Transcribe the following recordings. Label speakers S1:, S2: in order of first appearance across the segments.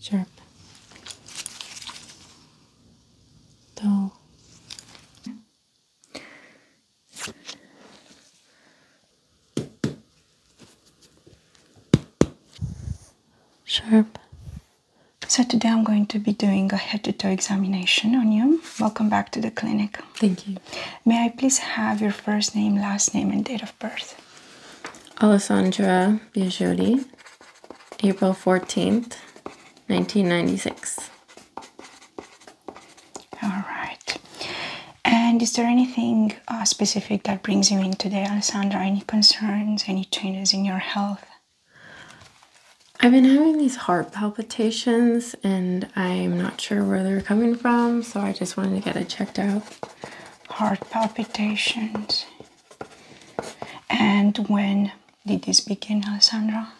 S1: sharp, dull. Sharp. So today I'm going to be doing a head to toe examination on you. Welcome back to the clinic. Thank you. May I please have your first name, last name, and date of birth?
S2: Alessandra Biagioli, April 14th, 1996.
S1: All right. And is there anything uh, specific that brings you in today, Alessandra? Any concerns, any changes in your health? I've been having these heart
S2: palpitations and I'm not sure where they're coming from, so I just wanted to get it checked out.
S1: Heart palpitations. And when did this begin, Alessandra?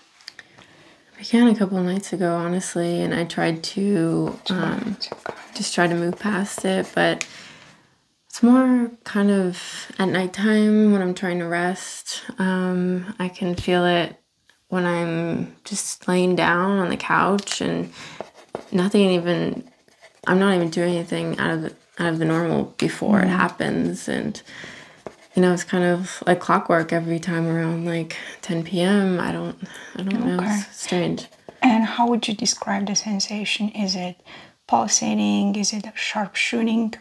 S2: It began a couple nights ago, honestly, and I tried to um, just try to move past it, but it's more kind of at nighttime when I'm trying to rest. Um, I can feel it when I'm just laying down on the couch and nothing even I'm not even doing anything out of the, out of the normal before it mm-hmm. happens and you know it's kind of like clockwork every time around like 10 p.m. I don't I don't know it's strange.
S1: And how would you describe the sensation? Is it pulsating? Is it a sharp shooting?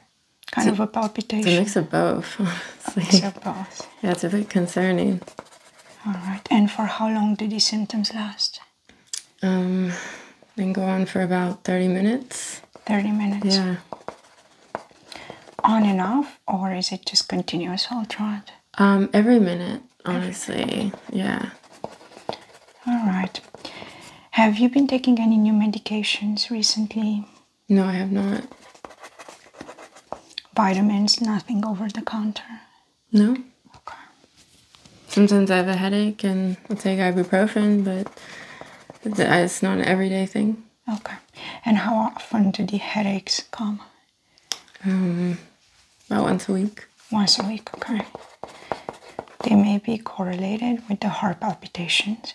S1: Kind of a palpitation. It's a mix of both. both.
S2: Yeah, it's a bit concerning.
S1: All right. And for how long did these symptoms last?
S2: Um, and go
S1: on for about 30 minutes. 30 minutes? Yeah. On and off, or is it just continuous all throughout? Um, every minute, honestly. Yeah. All right. Have you been taking any new medications recently? No, I have not. Vitamins, nothing over the counter.
S2: No. Okay. Sometimes I have a headache and i take ibuprofen, but uh, it's not an everyday thing.
S1: Okay. And how often do the headaches come? Um, about once a week. Once a week, okay. They may be correlated with the heart palpitations.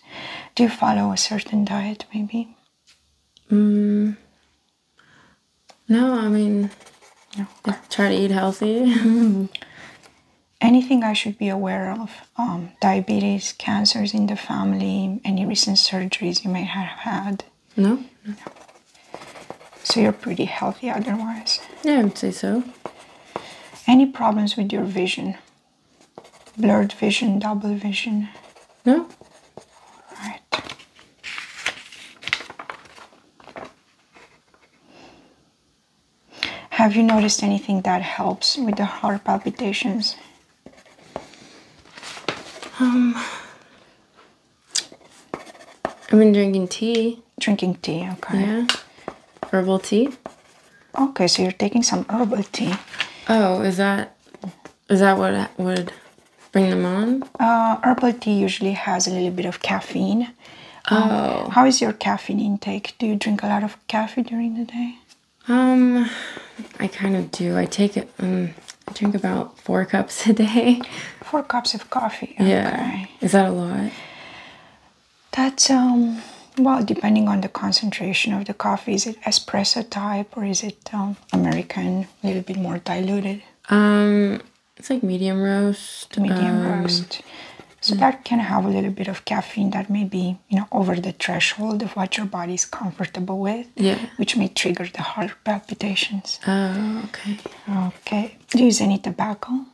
S1: Do you follow a certain diet, maybe? Mm, no, I mean, try to eat healthy. Anything I should be aware of? Um, diabetes, cancers in the family, any recent surgeries you may have had? No. So you're pretty healthy otherwise? Yeah, I would say so. Any problems with your vision? Blurred vision, double vision? No. All right. Have you noticed anything that helps with the heart palpitations? Um, I've been drinking tea. Drinking tea, okay. Yeah. Herbal tea. Okay, so you're taking some herbal tea. Oh, is that is that what would bring them on? Uh, herbal tea usually has a little bit of caffeine. Um, oh. how is your caffeine intake? Do you drink a lot of coffee during the day?
S2: Um, I kind of do. I take it. Um, I drink about four cups a day.
S1: Four cups of coffee. Oh, yeah. Is that a lot? That's um. Well, depending on the concentration of the coffee, is it espresso type or is it um, American, a little bit more diluted? Um, it's like medium roast. Medium um, roast. So that can have a little bit of caffeine that may be, you know, over the threshold of what your body is comfortable with. Yeah. Which may trigger the heart palpitations. Oh, okay. Okay. Do you use any tobacco?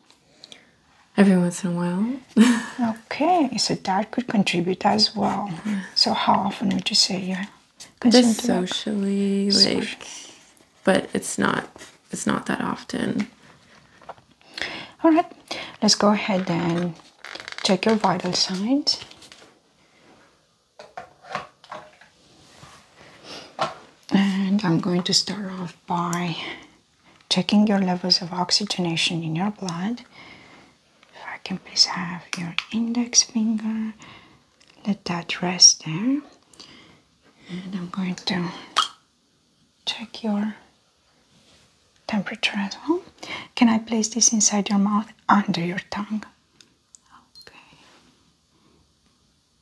S1: Every once in a while. okay. So that could contribute as well. Mm-hmm. So how often would you say you just
S2: socially like but it's not it's not that often
S1: all right let's go ahead and check your vital signs and i'm going to start off by checking your levels of oxygenation in your blood if i can please have your index finger let that rest there and I'm going to check your temperature as well. Can I place this inside your mouth under your tongue? Okay.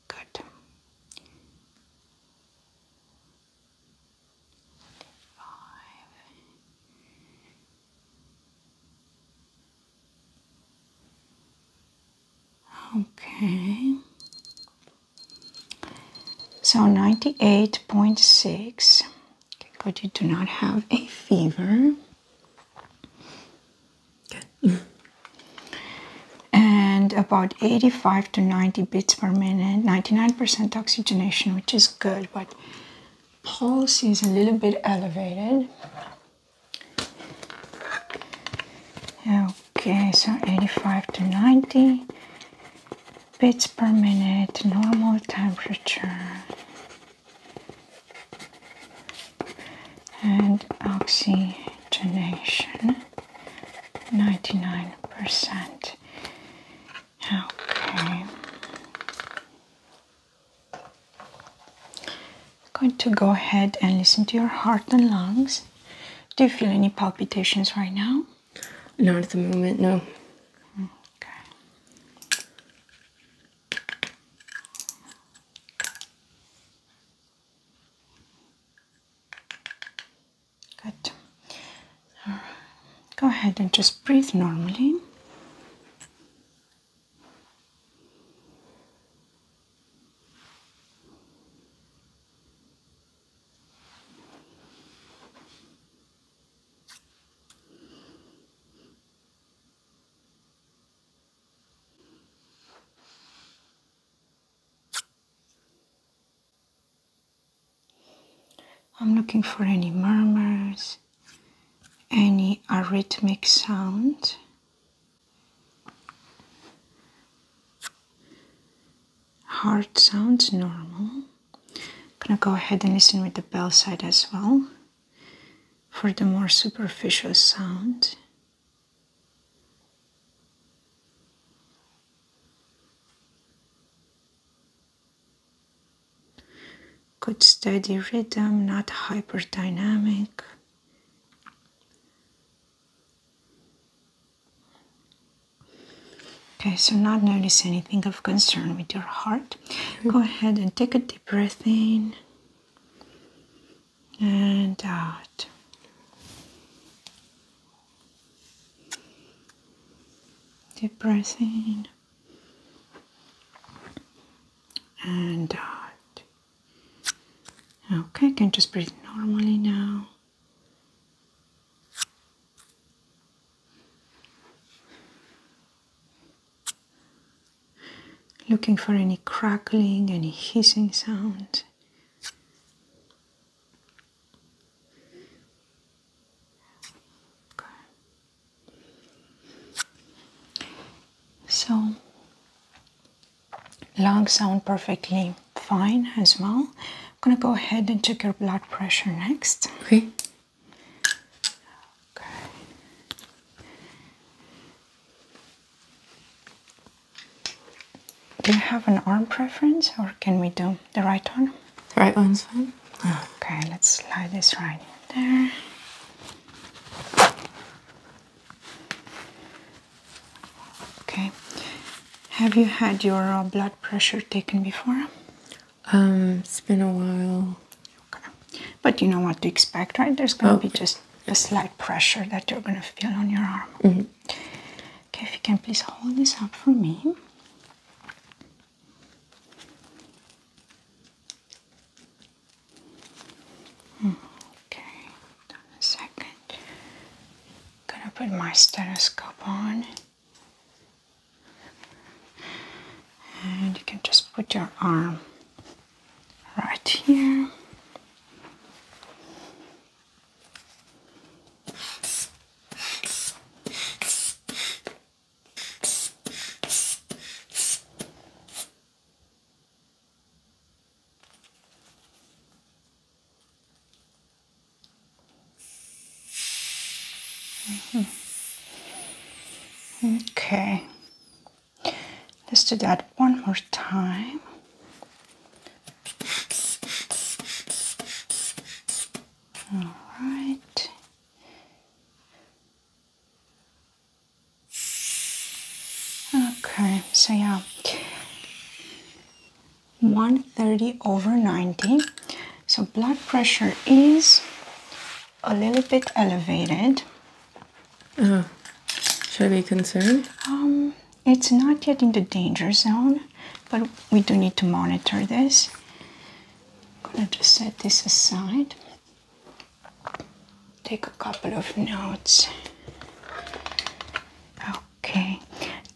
S1: Good. Okay. So 98.6. But you do not have a fever. and about 85 to 90 beats per minute, 99% oxygenation, which is good, but pulse is a little bit elevated. Okay, so 85 to 90 bits per minute, normal temperature. And oxygenation, 99%. Okay. I'm going to go ahead and listen to your heart and lungs. Do you feel any palpitations right now? Not at the moment, no. Okay. Good. Go ahead and just breathe normally. I'm looking for any murmurs, any arrhythmic sound. Heart sounds normal. I'm gonna go ahead and listen with the bell side as well for the more superficial sound. Good steady rhythm, not hyperdynamic. Okay, so not notice anything of concern with your heart. Go ahead and take a deep breath in and out. Deep breath in and out. Okay, I can just breathe normally now. Looking for any crackling, any hissing sounds. So lungs sound perfectly fine as well. I'm gonna go ahead and check your blood pressure next. Okay. Okay. Do you have an arm preference or can we do the right one? The right one's fine. Okay, let's slide this right in there. Okay. Have you had your uh, blood pressure taken before? Um, it's been a while. Okay. But you know what to expect, right? There's going to oh, be just a slight pressure that you're going to feel on your arm. Mm-hmm. Okay, if you can please hold this up for me. Okay, done a second. Gonna put my stethoscope on. And you can just put your arm right here. Okay, let's do that one more time. All right. Okay, so yeah, 130 over 90. So blood pressure is a little bit elevated. Oh,
S2: should I be concerned?
S1: Um, it's not yet in the danger zone, but we do need to monitor this. I'm gonna just set this aside take a couple of notes. Okay,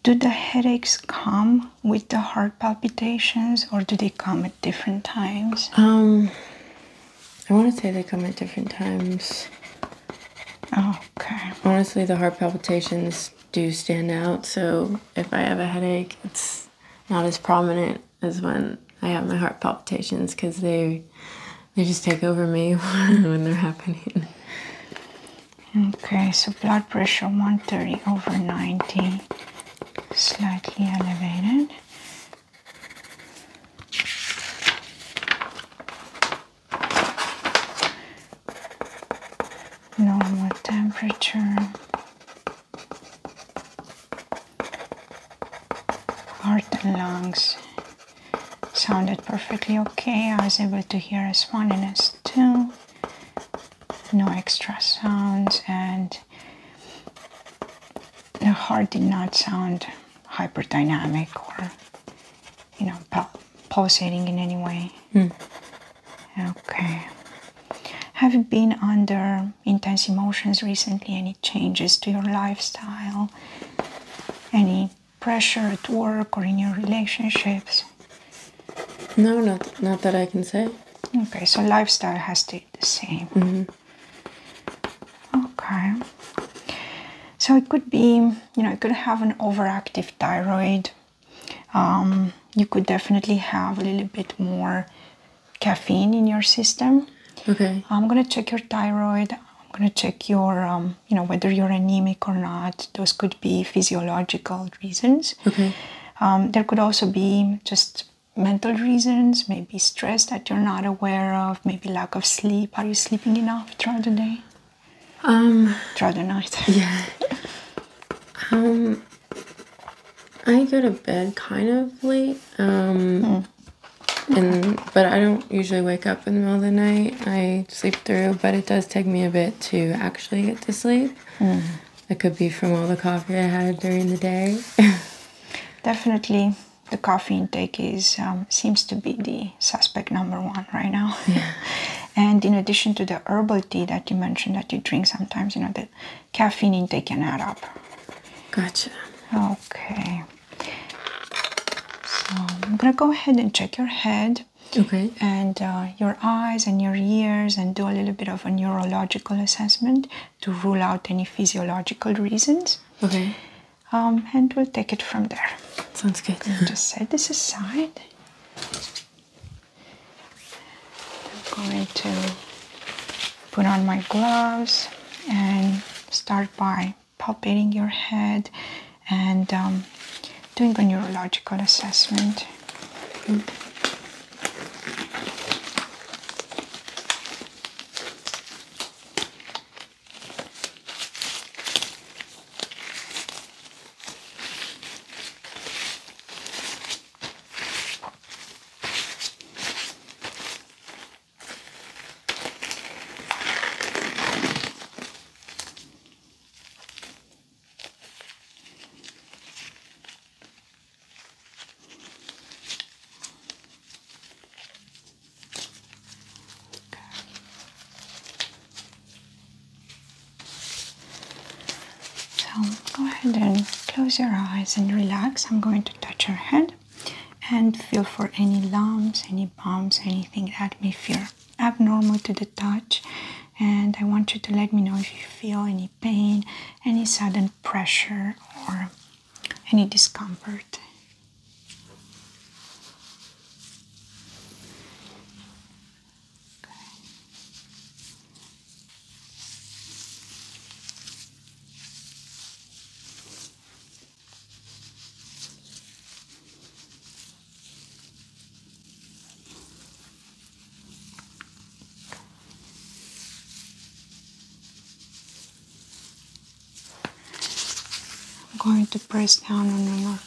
S1: do the headaches come with the heart palpitations or do they come at different times? Um, I want to say they come
S2: at different times. Okay. Honestly, the heart palpitations do stand out, so if I have a headache, it's not as prominent as when I have my heart palpitations because they they just take over me when they're happening.
S1: Okay, so blood pressure 130 over 90, slightly elevated. Normal temperature. Heart and lungs sounded perfectly okay. I was able to hear S1 and S2, no extra sounds, and the heart did not sound hyperdynamic or, you know, pulsating in any way. Hmm. Okay. Have you been under intense emotions recently? Any changes to your lifestyle? Any pressure at work or in your relationships? No, not not that I can say. Okay, so lifestyle has to be the same. Mm-hmm. Okay. So it could be, you know, you could have an overactive thyroid. Um, you could definitely have a little bit more caffeine in your system. Okay. I'm gonna check your thyroid. I'm going to check your, um, you know, whether you're anemic or not. Those could be physiological reasons. Okay. Um, there could also be just mental reasons, maybe stress that you're not aware of, maybe lack of sleep. Are you sleeping enough throughout the day? Um, throughout the night. yeah.
S2: Um, I go to bed kind of late. Hmm but I don't usually wake up in the middle of the night. I sleep through, but it does take me a bit to actually get to sleep. It hmm. could be from all the coffee I had during the day.
S1: Definitely, the coffee intake is um, seems to be the suspect number one right now. and in addition to the herbal tea that you mentioned that you drink sometimes, you know, the caffeine intake can add up. Gotcha. Okay. So I'm gonna go ahead and check your head. Okay. And uh, your eyes and your ears, and do a little bit of a neurological assessment to rule out any physiological reasons. Okay. Um, and we'll take it from there. Sounds good. Just set this aside. I'm going to put on my gloves and start by palpating your head and um, doing a neurological assessment. So go ahead and close your eyes and relax. I'm going to touch your head and feel for any lumps, any bumps, anything that may feel abnormal to the touch. And I want you to let me know if you feel any pain, any sudden pressure, or any discomfort. I'm going to press down on your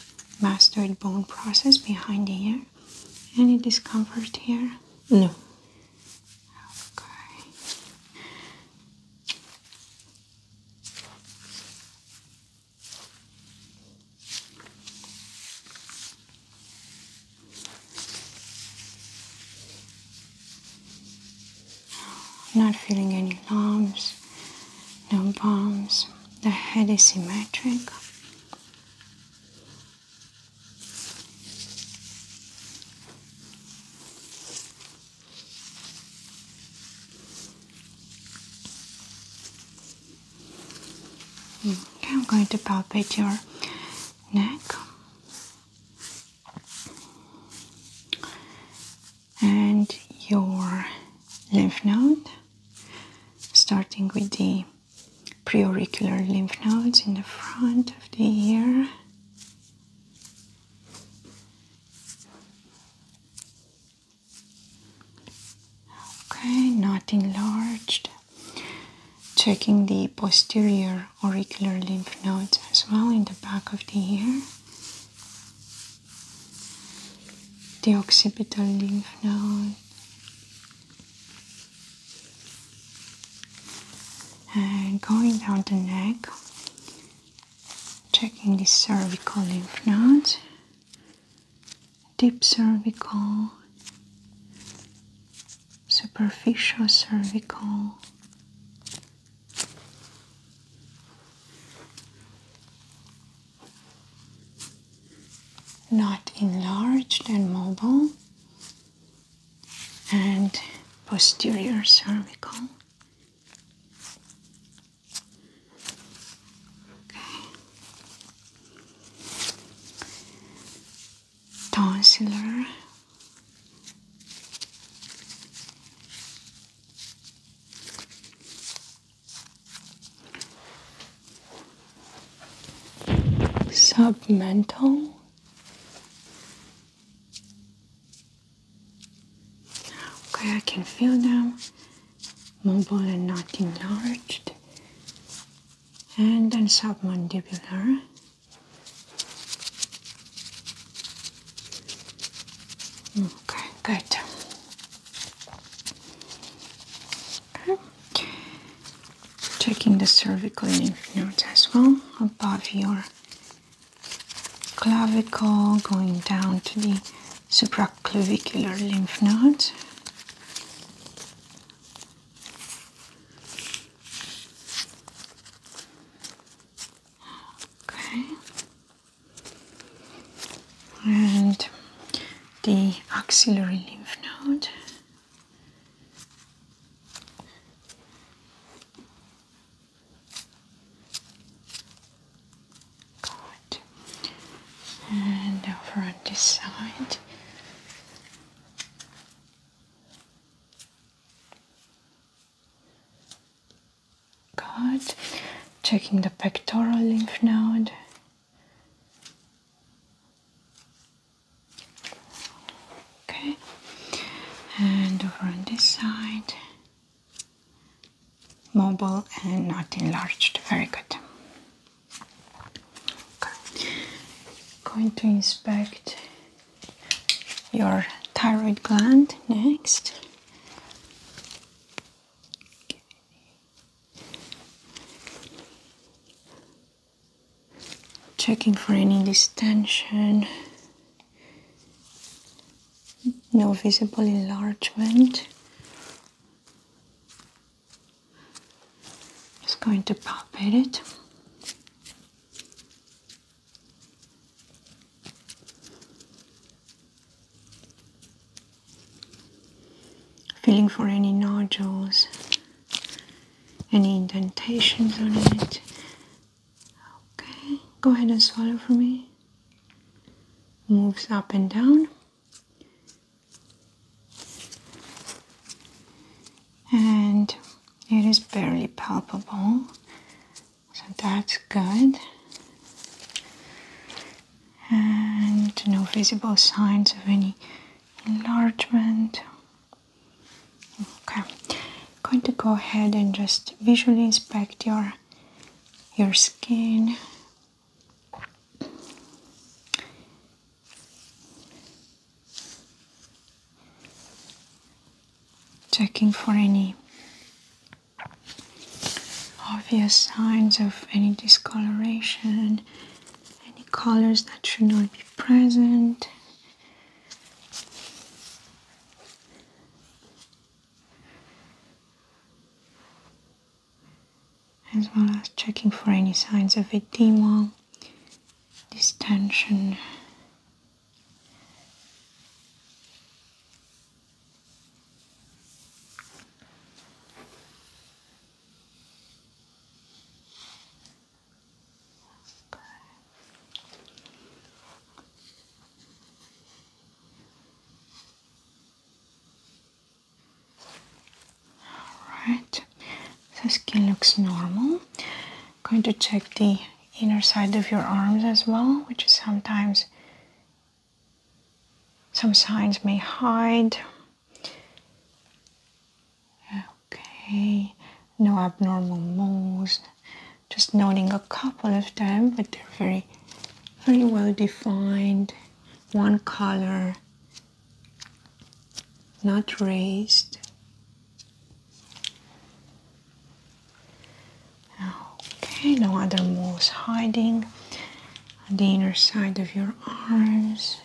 S1: mastoid bone process behind the ear. Any discomfort here?
S2: No. Okay.
S1: Not feeling any lumps, no bumps. The head is symmetric. Okay, I'm going to palpate your neck and your lymph node, starting with the preauricular lymph nodes in the front of the ear. Okay, not enlarged. Checking the posterior auricular lymph nodes as well in the back of the ear. The occipital lymph node. And going down the neck, Checking the cervical lymph nodes, deep cervical, superficial cervical. Not enlarged and mobile, and posterior cervical. Okay. Tonsillar. Submental Okay, I can feel them. Mobile and not enlarged. And then submandibular. Okay, good. Okay. Checking the cervical lymph nodes as well above your clavicle, going down to the supraclavicular lymph node. Okay. And the axillary lymph node. Good. And over on this side. Good. Checking the pectoral lymph node. Okay. And over on this side mobile and not enlarged. Very good. Going to inspect your thyroid gland next. Checking for any distension no visible enlargement. Just going to palpate it. Feeling for any nodules, any indentations on it. Okay, go ahead and swallow for me moves up and down and it is barely palpable so that's good and no visible signs of any enlargement okay I'm going to go ahead and just visually inspect your your skin Checking for any obvious signs of any discoloration, any colors that should not be present as well as checking for any signs of edema, distension. Alright, the skin looks normal. I'm going to check the inner side of your arms as well, which is sometimes some signs may hide. Okay, no abnormal moles. Just noting a couple of them, but they're very, very well defined one color, not raised. Okay, no other moles hiding on the inner side of your arms.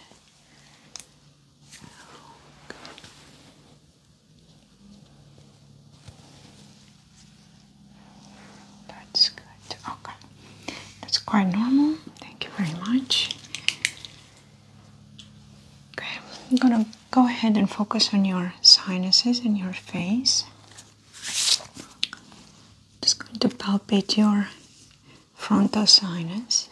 S1: That's good. Okay. That's quite normal. Thank you very much. Okay, I'm gonna go ahead and focus on your sinuses and your face. Just going to palpate your frontal sinus.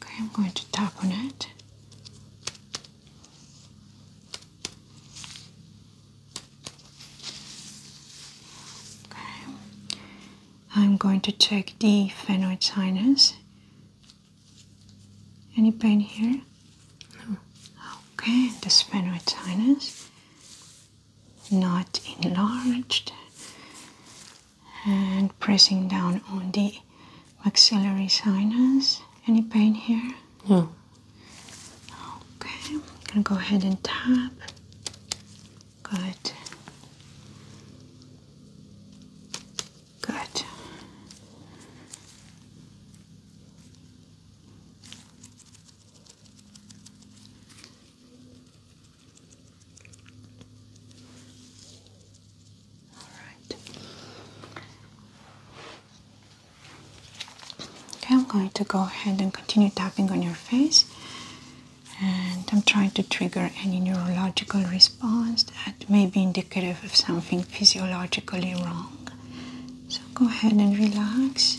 S1: Okay, I'm going to tap on it. Okay. I'm going to check the phenoid sinus. Any pain here? No. Okay, the sphenoid sinus. Not enlarged and pressing down on the maxillary sinus. Any pain here? No. Okay, I'm gonna go ahead and tap. Good. Good. All right. Okay, I'm going to go ahead and continue tapping on your face, and I'm trying to trigger any neurological response that may be indicative of something physiologically wrong. So go ahead and relax.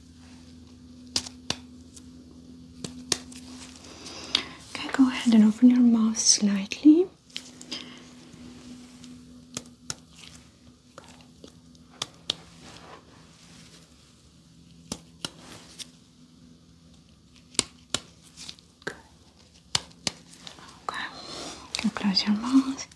S1: Okay, go ahead and open your mouth slightly. Good. Okay, close your mouth.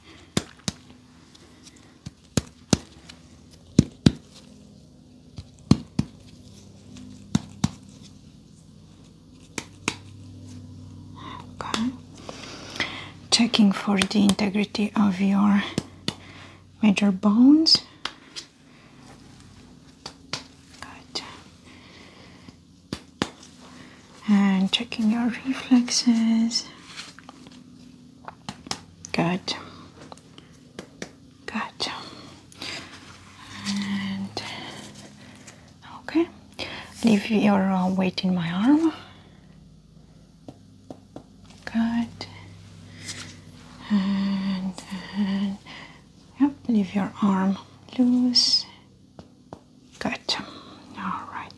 S1: Okay. Checking for the integrity of your major bones. Good. And checking your reflexes. Good. Gotcha. And okay, leave your uh, weight in my arm. Good. And, and leave your arm loose. Gotcha. All right.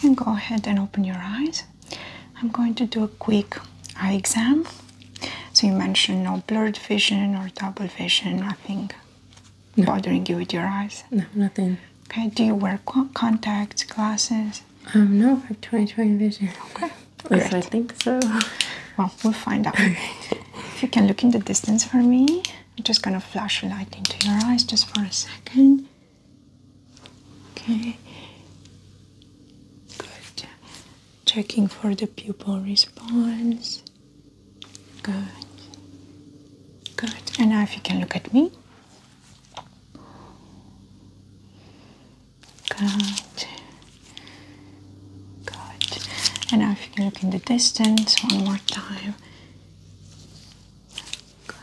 S1: I go ahead and open your eyes. I'm going to do a quick eye exam. So you mentioned no blurred vision or double vision, nothing bothering you with your eyes? No, nothing. Okay, do you wear contacts, glasses? Um, no, I have 20/20 vision. Okay, Yes, I think so. Well, we'll find out. If you can look in the distance for me, I'm just gonna flash a light into your eyes just for a second. Okay. Good. Checking for the pupil response. Good. Good. And now if you can look at me. Good. Good. And now if you can look in the distance one more time. Good.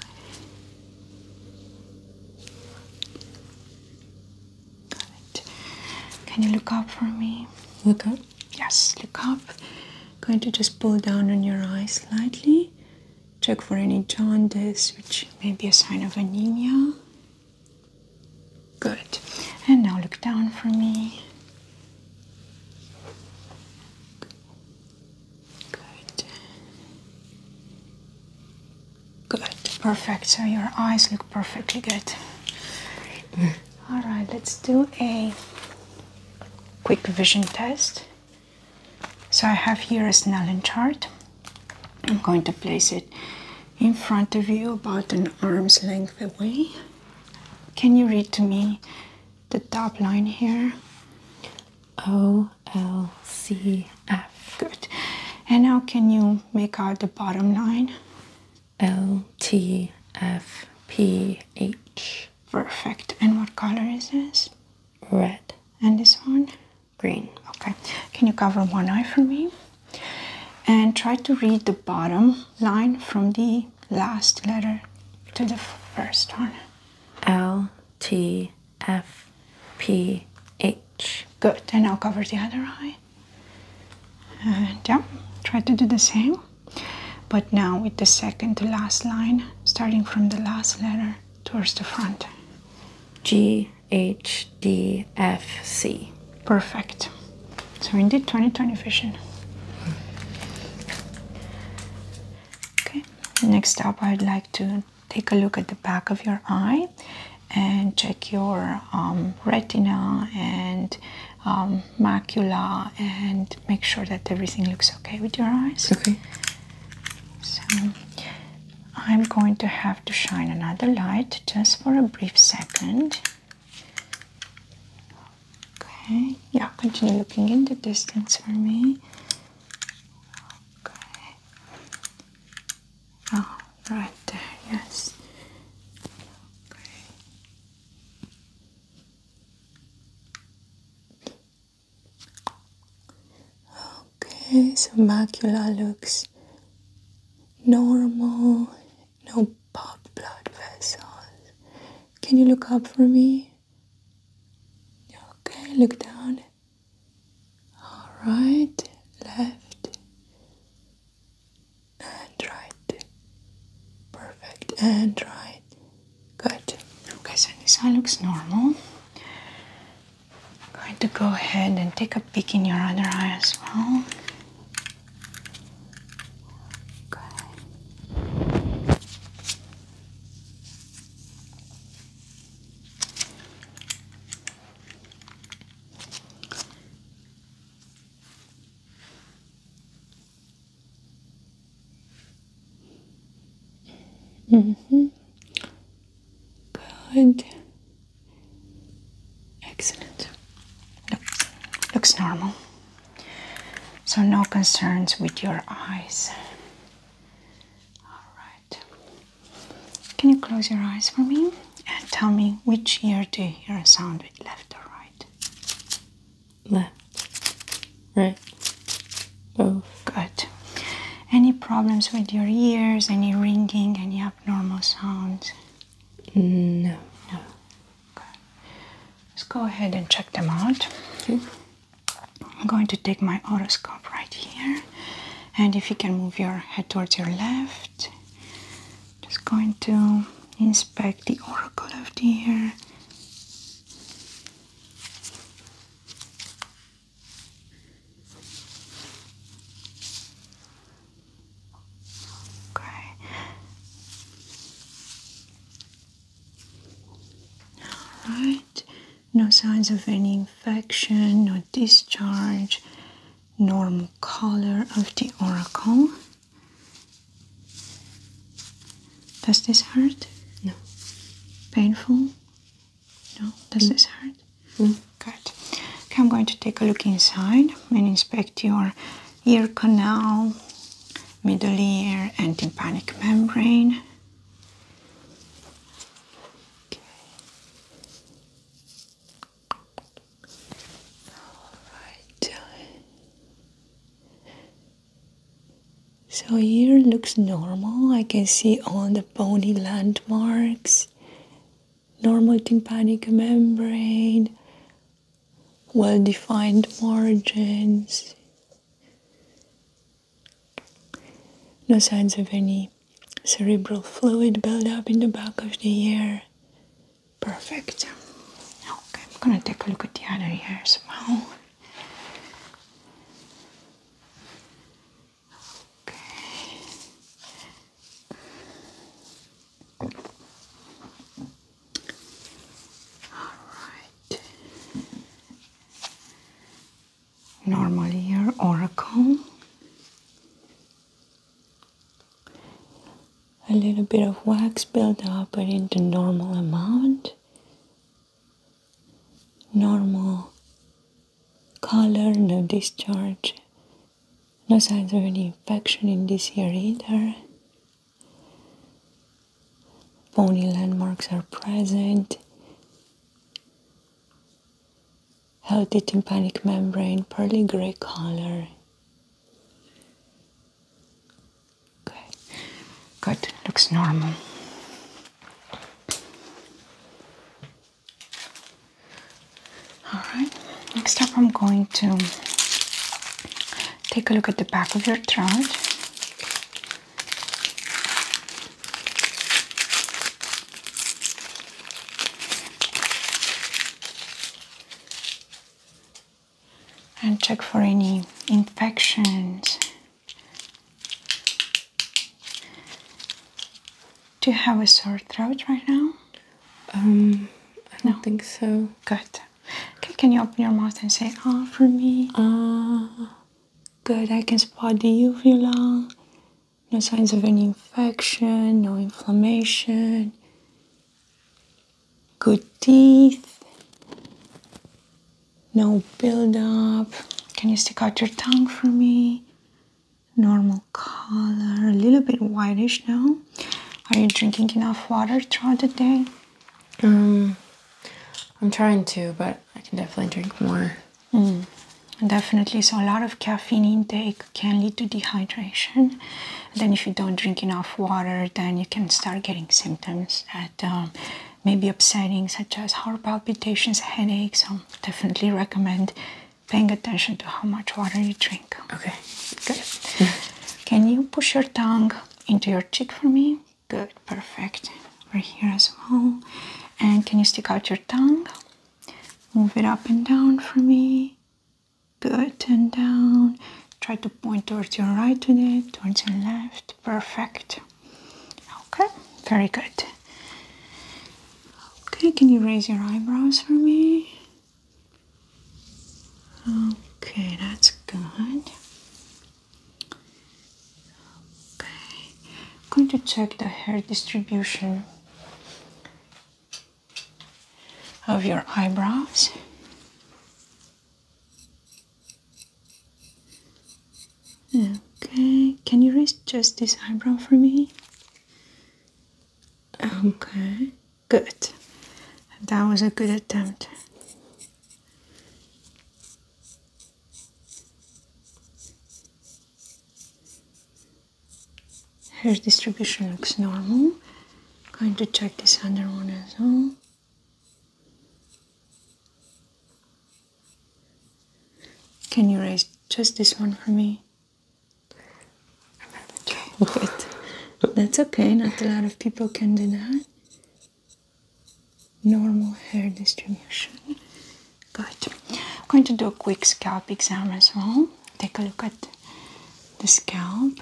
S1: Can you look up for me? Look up? Yes, look up. Going to just pull down on your eyes slightly. Check for any jaundice, which may be a sign of anemia. Good. And now look down for me. Good. Good. Perfect. So your eyes look perfectly good. All right, let's do a quick vision test. So I have here a Snellen chart. I'm going to place it in front of you about an arm's length away. Can you read to me the top line here? O L C F. Good. And now can you make out the bottom line? L T F P H. Perfect. And what color is this? Red. And this one? Green. Okay. Can you cover one eye for me? And try to read the bottom line from the last letter to the first one. L T F P H. Good, and I'll cover the other eye. And yeah, try to do the same. But now with the second to last line, starting from the last letter towards the front. G H D F C. Perfect. So indeed 2020 vision. Okay, next up I'd like to take a look at the back of your eye and check your um, retina and um, macula and make sure that everything looks okay with your eyes. Okay. So I'm going to have to shine another light just for a brief second. Okay, yeah, continue looking in the distance for me. Okay. Oh, right there, yes. Okay. Okay, so macula looks normal no pop blood vessels. Can you look up for me? Okay, look down. All right, left and right. Perfect, and right. Good. Okay, so this eye looks normal. I'm going to go ahead and take a peek in your other eye as well. Okay. Mm-hmm. Good. Excellent. looks normal. So, no concerns with your eyes. All right. Can you close your eyes for me and tell me which ear do you hear a sound with left or
S2: right? Left,
S1: right, both. Good. Any problems with your ears? Any ringing? Any abnormal sounds? No. No. Let's go ahead and check them out. I'm going to take my otoscope right here, and if you can move your head towards your left, just going to inspect the auricle of the ear. Okay. Alright. No signs of any infection, no discharge, normal color of the oracle. Does this hurt? No. Painful? No. Does mm. this hurt? Mm. Good. Okay, I'm going to take a look inside and inspect your ear canal, middle ear and tympanic membrane. All right. So here looks normal. I can see all the bony landmarks, normal tympanic membrane, well defined margins, no signs of any cerebral fluid buildup in the back of the ear. Perfect. Okay, I'm gonna take a look at the other ears now. Alright. Normal year oracle. A little bit of wax built up but in the normal amount. Normal color, no discharge, no signs of any infection in this ear either. Bony landmarks are present. Healthy tympanic membrane, pearly gray color. Okay, good, looks normal. All right, next up I'm going to Take a look at the back of your throat. And check for any infections. Do you have a sore throat right now? Um, I don't think so. Good. Okay, can you open your mouth and say ah for me? Ah, good. I can spot the ah, uvula. No signs of any infection, no inflammation. Good teeth. No buildup. Can you stick out your tongue for me? Normal color, a little bit whitish now. Are you drinking enough water throughout the day? Um, I'm trying to, but I can definitely drink more. Mm, definitely. So, a lot of caffeine intake can lead to dehydration. Then, if you don't drink enough water, then you can start getting symptoms that um, may be upsetting, such as heart palpitations, headaches. So, definitely recommend paying attention to how much water you drink. Okay, good. Can you push your tongue into your cheek for me. Good, perfect. Over here as well. And can you stick out your tongue? Move it up and down for me. Good, and down. Try to point towards your right today, towards your left. Perfect. Okay, very good. Okay, can you raise your eyebrows for me? Okay, that's good. Okay, I'm going to check the hair distribution of your eyebrows. Okay, can you raise just this eyebrow for me? Okay. Good. That was a good attempt. Hair distribution looks normal. Going to check this other one as well. Can you raise just this one for me? Good. That's okay, not a lot of people can do that normal hair distribution. Good. I'm going to do a quick scalp exam as well. Take a look at the scalp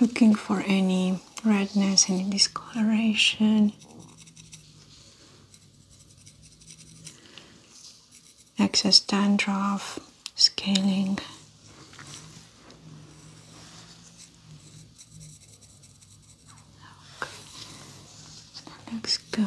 S1: looking for any redness, any discoloration, excess dandruff, scaling. Okay. That looks good.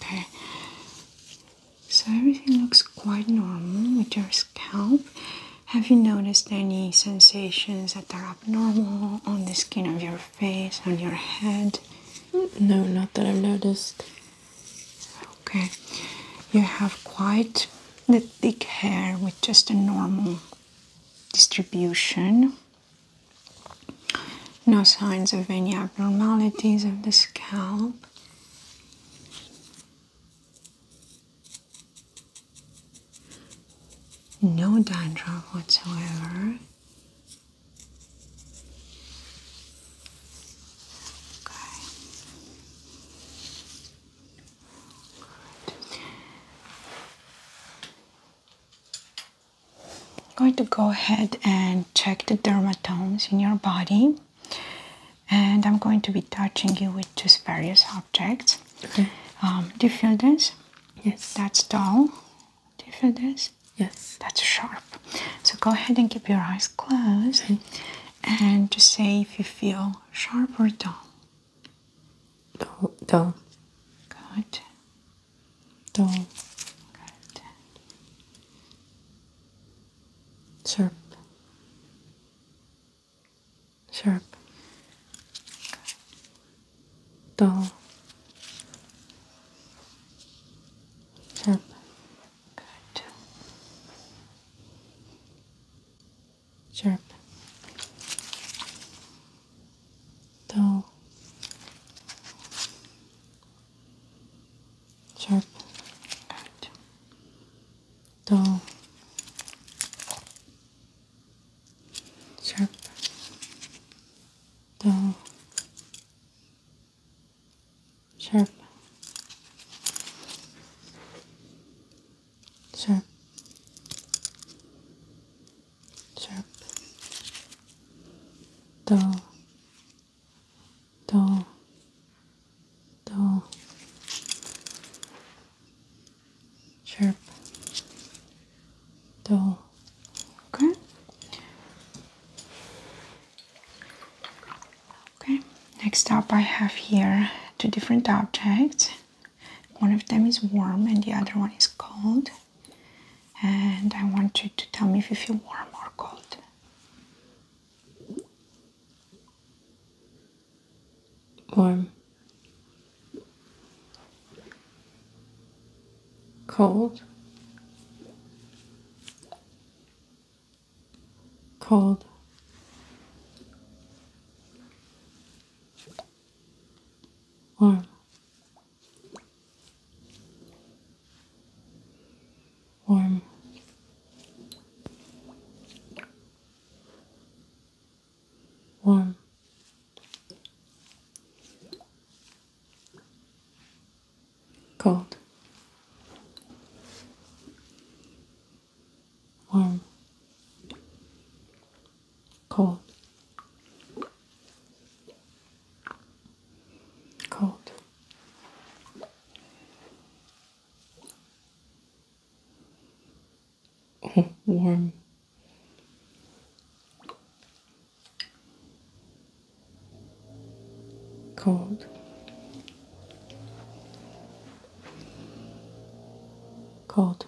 S1: Okay, so everything looks quite normal with your scalp. Have you noticed any sensations that are abnormal on the skin of your face, on your head? No, not that I've noticed. Okay, you have quite the thick hair with just a normal distribution. No signs of any abnormalities of the scalp. No dandruff whatsoever. I'm going to go ahead and check the dermatomes in your body, and I'm going to be touching you with just various objects. Okay. Um, do you feel this? Yes. That's dull. Do you feel this? Yes. That's sharp. So go ahead and keep your eyes closed and to say if you feel sharp or dull. Dull. dull. Good.
S2: Dull. Good. Sharp. Sharp. Good. Dull. Sharp. Good. Sharp. Dull. Sharp. Good. Dull. Sharp. Dull sharp, sharp,
S1: sharp, dull, dull, dull, sharp, dull. Okay. Okay, next up I have here two different objects. One of them is warm and the other one is cold. And I want you to tell me if you feel warm or cold.
S2: Warm. Cold cold. Warm. Warm. Warm. Cold warm, cold, cold. warm. Cold, cold,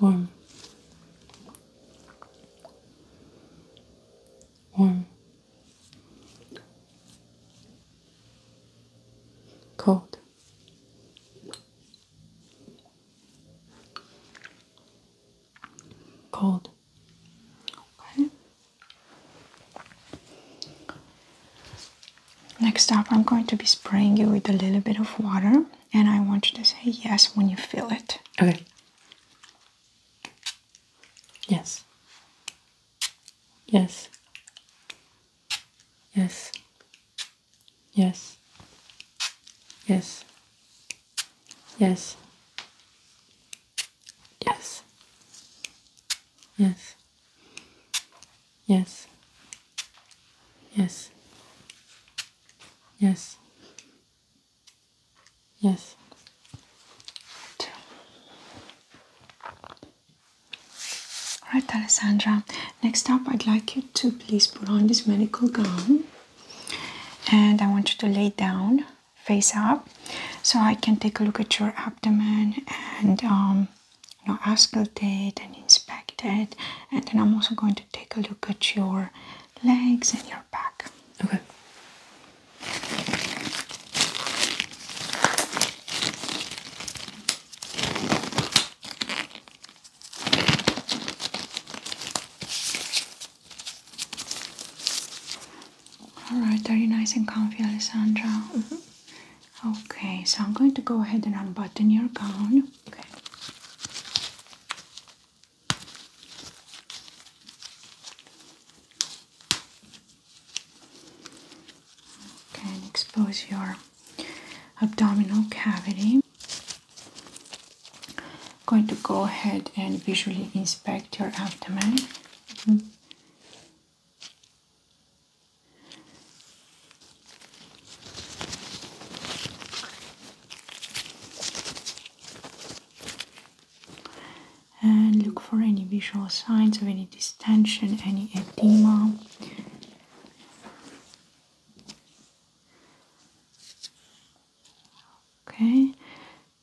S2: warm, warm, cold.
S1: Cold. Next up, I'm going to be spraying you with a little bit of water, and I want you to say yes when you feel it.
S2: Okay. Yes. Yes. Yes. Yes. Yes. Yes. Yes. Yes. Yes. Yes. Yes.
S1: Yes. Two. All right, Alessandra. Next up, I'd like you to please put on this medical gown, and I want you to lay down face up so I can take a look at your abdomen and um, you know, auscultate and inspect it and then I'm also going to take a look at your legs and your back. Okay. All right, very nice and comfy, Alessandra? Mm-hmm. Okay, so I'm going to go ahead and unbutton your gown. Okay. Okay, and expose your abdominal cavity. I'm going to go ahead and visually inspect your abdomen. Mm-hmm. And look for any visual signs of any distension, any edema. Okay,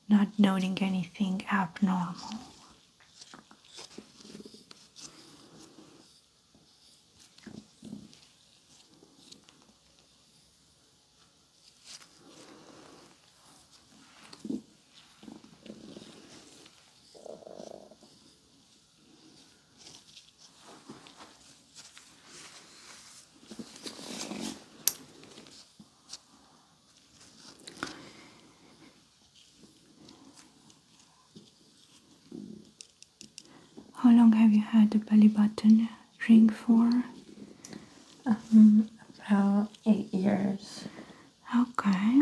S1: not noting anything abnormal. How long have you had the belly button ring for? Um, about eight years. Okay,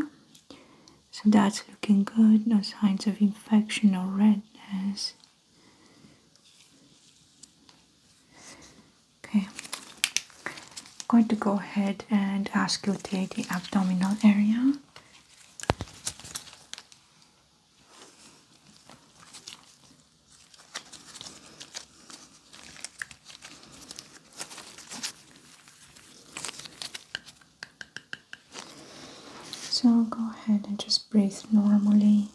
S1: so that's looking good. No signs of infection or redness. Okay, I'm going to go ahead and auscultate the abdominal area. So go ahead and just breathe normally.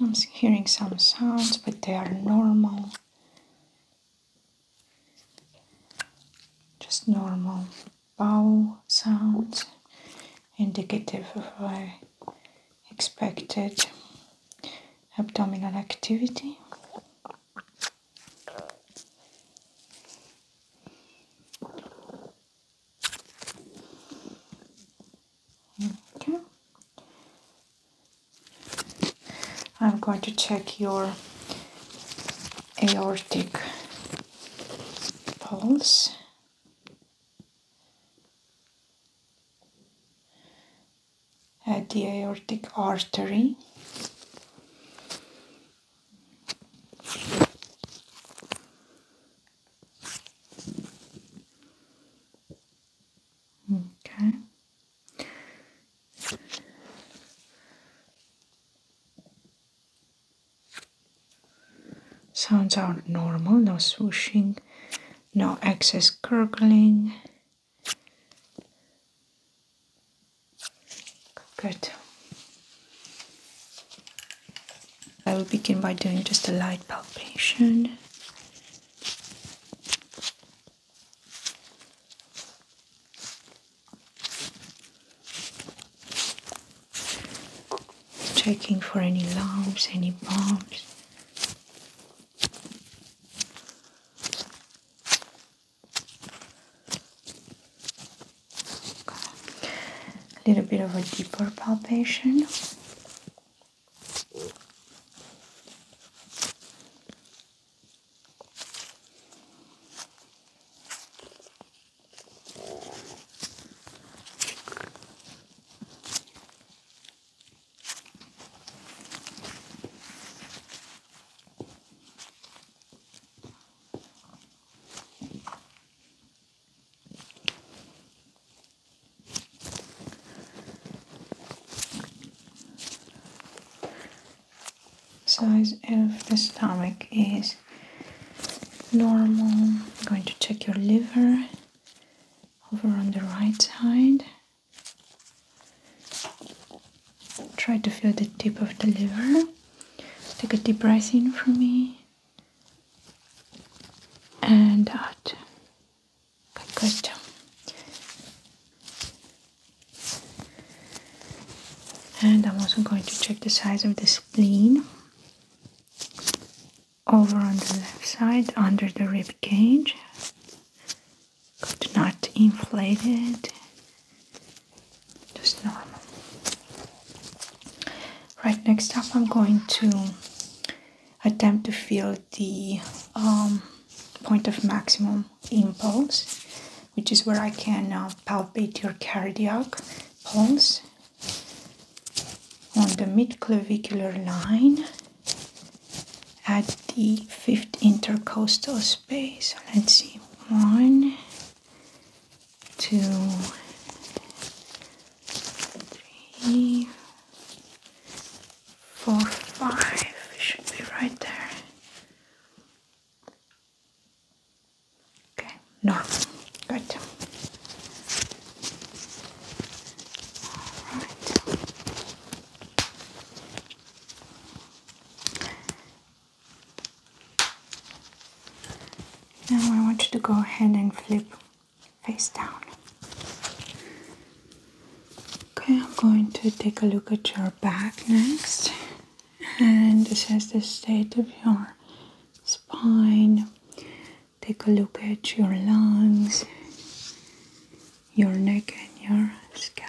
S1: I'm hearing some sounds, but they are normal. Just normal bowel sounds, indicative of a expected abdominal activity. Okay. I'm going to check your aortic pulse. At the aortic artery, Okay. Sounds are normal, no swooshing, no excess gurgling. Good. I will begin by doing just a light palpation. Checking for any lumps, any bumps. A little bit of a deeper palpation. Size of the stomach is normal. I'm going to check your liver over on the right side. Try to feel the tip of the liver. Take a deep breath in for me and out. Uh, good. And I'm also going to check the size of the spleen over on the left side under the rib cage. Good, not inflated just normal. Right, next up, I'm going to attempt to feel the um, point of maximum impulse, which is where I can uh, palpate your cardiac pulse on the mid clavicular line at the fifth intercostal space. Let's see, one, two, three, four, five. should be right there. Okay, no, good. All right. Now I want you to go ahead and flip face down. Okay, I'm going to take a look at your back next and assess the state of your spine. Take a look at your lungs, your neck, and your scalp.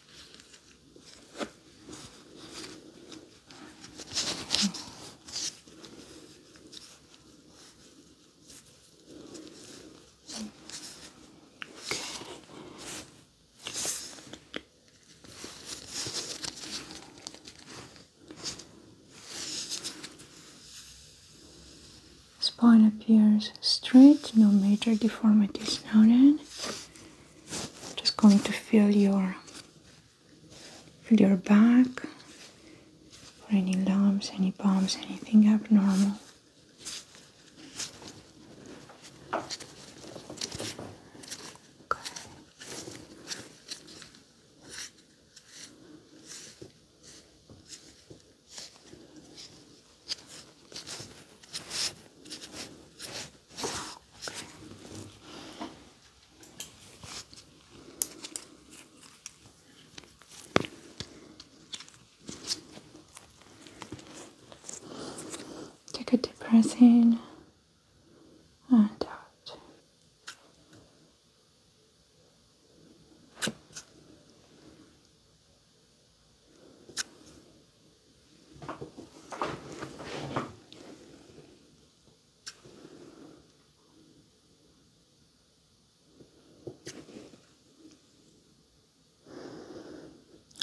S1: Spine appears straight, no major deformities noted just going to feel your feel your back for any lumps, any bumps, anything abnormal. Okay. Take a deep and out.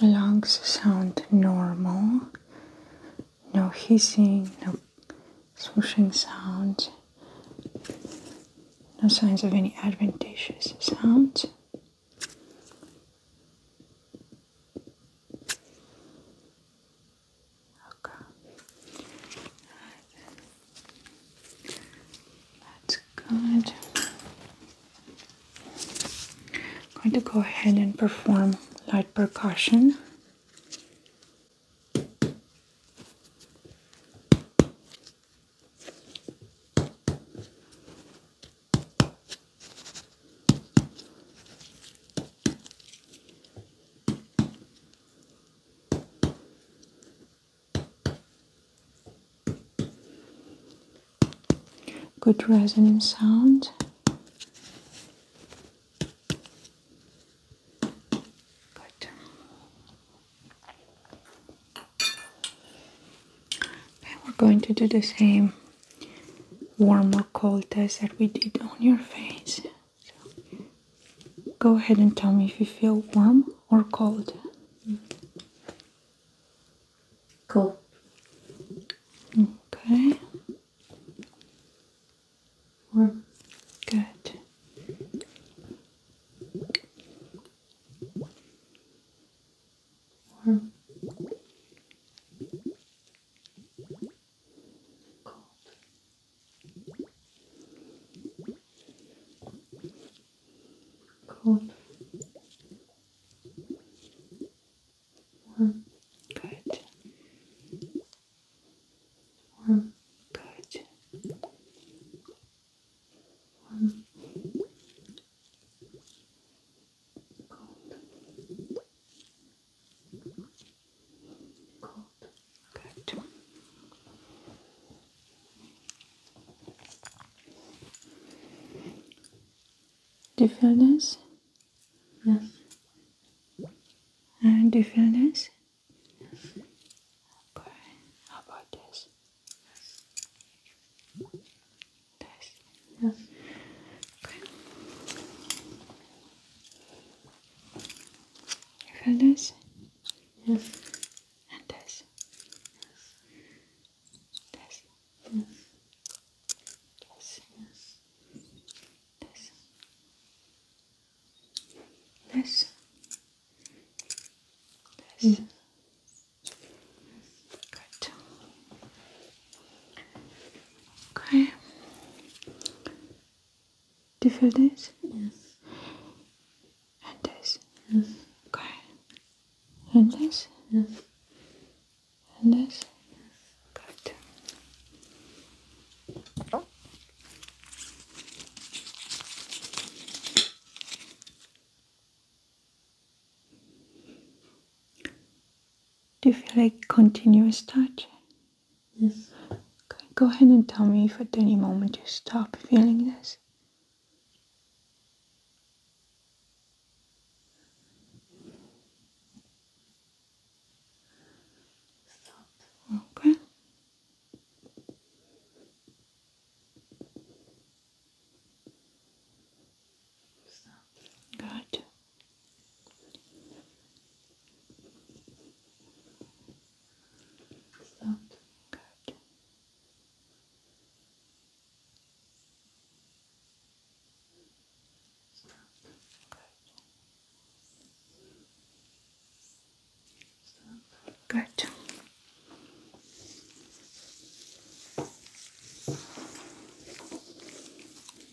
S1: Lungs sound normal, no hissing, no swooshing sounds, no signs of any adventitious sounds. Okay. That's good. I'm going to go ahead and perform light percussion. Good resonant sound. Good we're going to do the same warm or cold test that we did on your face. go ahead and tell me if you feel warm or cold. Cold. Okay. Warm. Good
S2: or cold. Cold. Warm. Good. Warm. Good. Warm.
S1: Do you feel this? Yes. And do you feel this? Okay. How about this? test. Yeah. Okay. You feel this? Yes. And this? Yes. This? Yes.
S2: This? Yes. This? This? Mm. Good.
S1: Okay. Do you feel this? Yes. And this? Yes. Okay. And this? Yes. And this? Good. Do you feel like continuous touch? Yes. Okay, go ahead and tell me if at any moment you stop feeling this. Stop. Okay. Stop. Good sound card. Good.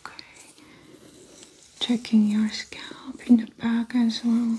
S1: Okay, checking your scalp in the back as well.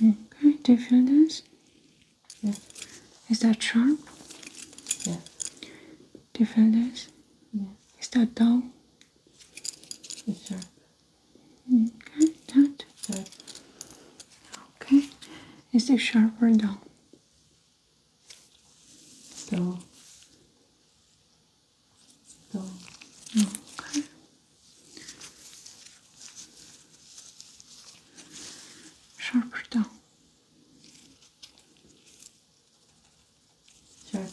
S1: Okay, do you feel this? Yeah. Is that sharp? Yeah. Do you feel this? Yeah. Is that dull? It's sharp. Okay, that. Sharp. Okay. Is it sharp or dull? Dull. Dull. Okay. Sharper down. Sharp. Good.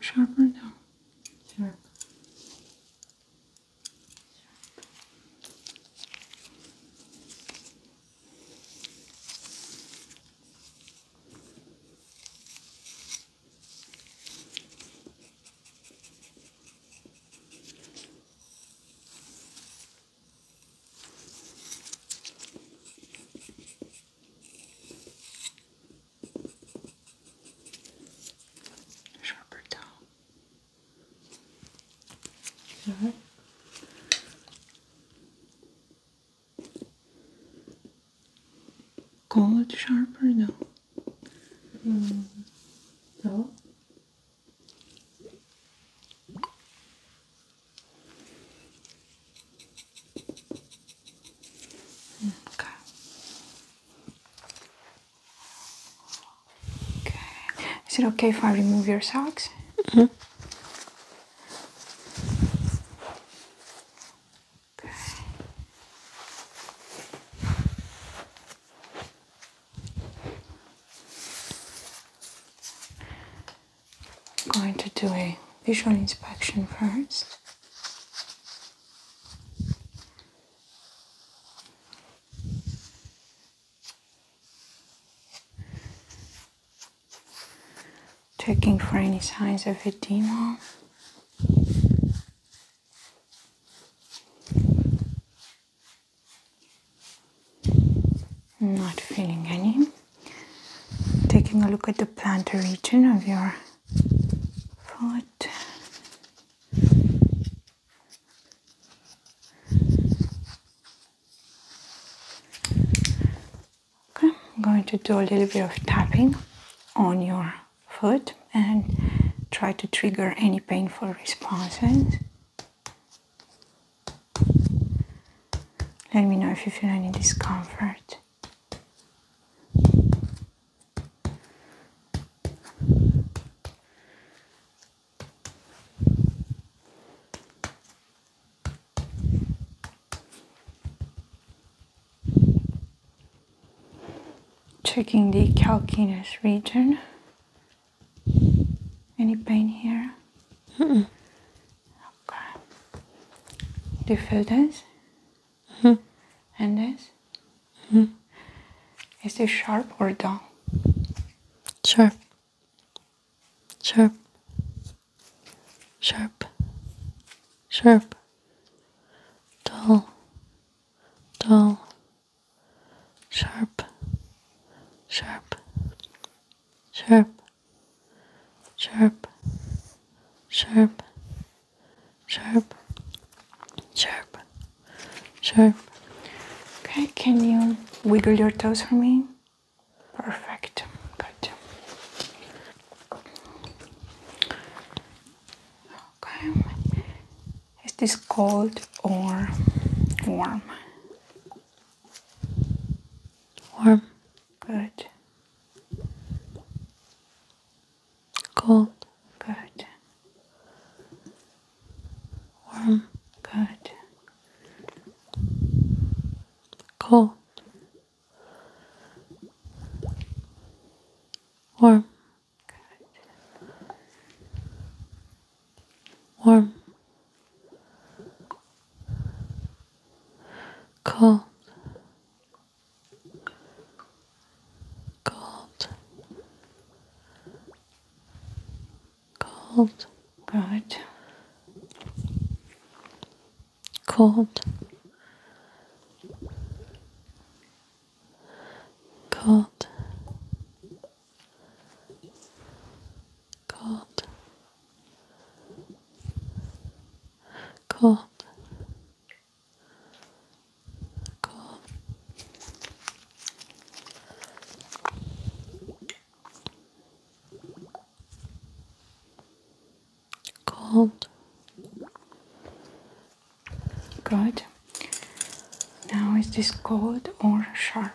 S1: Sharper down. Sharp.
S2: Sharper towel. All right.
S1: Call it sharper, mm-hmm. no. Mm. No. Okay. Okay. Is it okay if I remove your socks? -hmm. I'm going to do a visual inspection first. Checking for any signs of a edema. Not feeling any. Taking a look at the plantar region of your foot. Okay, I'm going to do a little bit of tapping on your foot and try to trigger any painful responses. Let me know if you feel any discomfort. Checking the calcaneus region any pain here? Okay. Do you feel this? -hmm. And this? -hmm. Is this sharp or dull? Sharp. Sharp. Sharp. Sharp. Dull. Dull. Sharp. Sharp. Sharp sharp, sharp, sharp, sharp, sharp. Okay, can you wiggle your toes for me? Perfect. Good. Okay. Is this cold or warm? Warm. Good. Cold. Good. Warm. Good. Cold.
S2: Warm. Good warm, cold,
S1: cold, cold, good,
S2: cold, cold. Cold,
S1: Cool. Cool. Cold. Good. Now is this cold or sharp?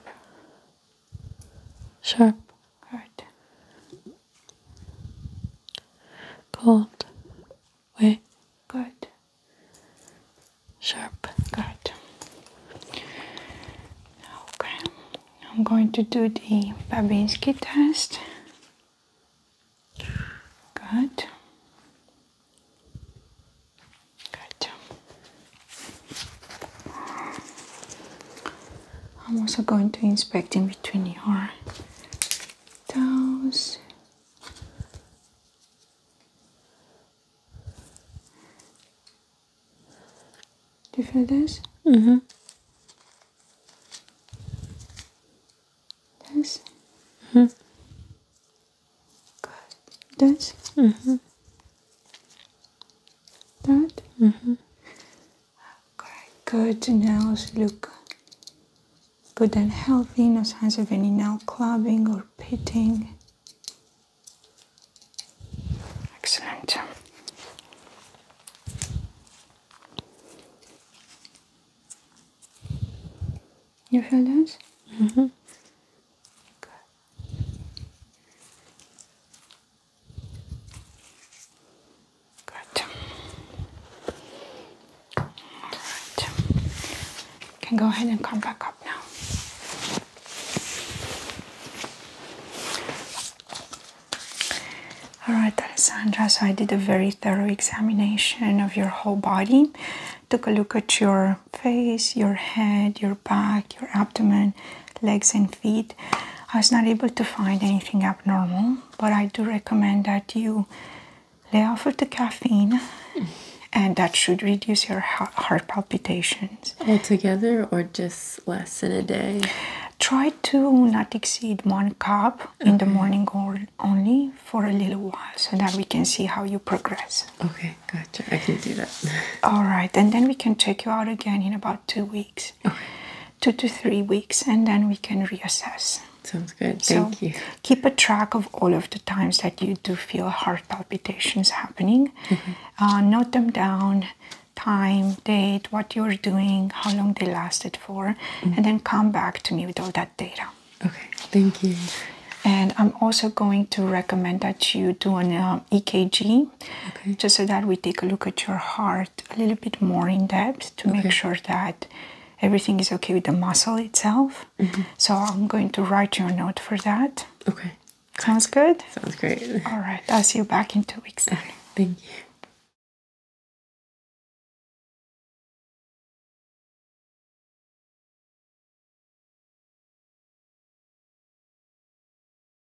S1: Sharp. Good. Cold. Way. Good. Sharp. Good. Okay. I'm going to do the Babinski test. Good. Good. I'm also going to inspect in between your toes. Do you feel this? Mm-hmm. This? hmm Good. This? Mm-hmm. That? Mm -hmm. Okay, good. Nails look good and healthy. No signs of any nail clubbing or pitting. Excellent. You feel that? Mm -hmm. Good. All right. can go ahead and come back up now. All right, Alessandra. So I did a very thorough examination of your whole body. Took a look at your face, your head, your back, your abdomen, legs and feet. I was not able to find anything abnormal, but I do recommend that you lay off of the caffeine, and that should reduce your heart palpitations. Altogether, or just less in a day? Try to not exceed one cup in the morning or only for a little while so that we can see how you progress.
S2: Okay, gotcha. I can do that.
S1: All right, and then we can check you out again in about two weeks two to three weeks, and then we can reassess.
S2: Sounds good. Thank you.
S1: Keep a track of all of the times that you do feel heart palpitations happening. Mm-hmm. Uh, note them down, time, date, what you're doing, how long they lasted for, mm-hmm. and then come back to me with all that data. Okay. Thank you. And I'm also going to recommend that you do an uh, EKG just so that we take a look at your heart a little bit more in depth to make sure that everything is okay with the muscle itself. Mm-hmm. So I'm going to write your note for that. Okay. Sounds good? Sounds great. All right. I'll see you back in two weeks then. Thank you.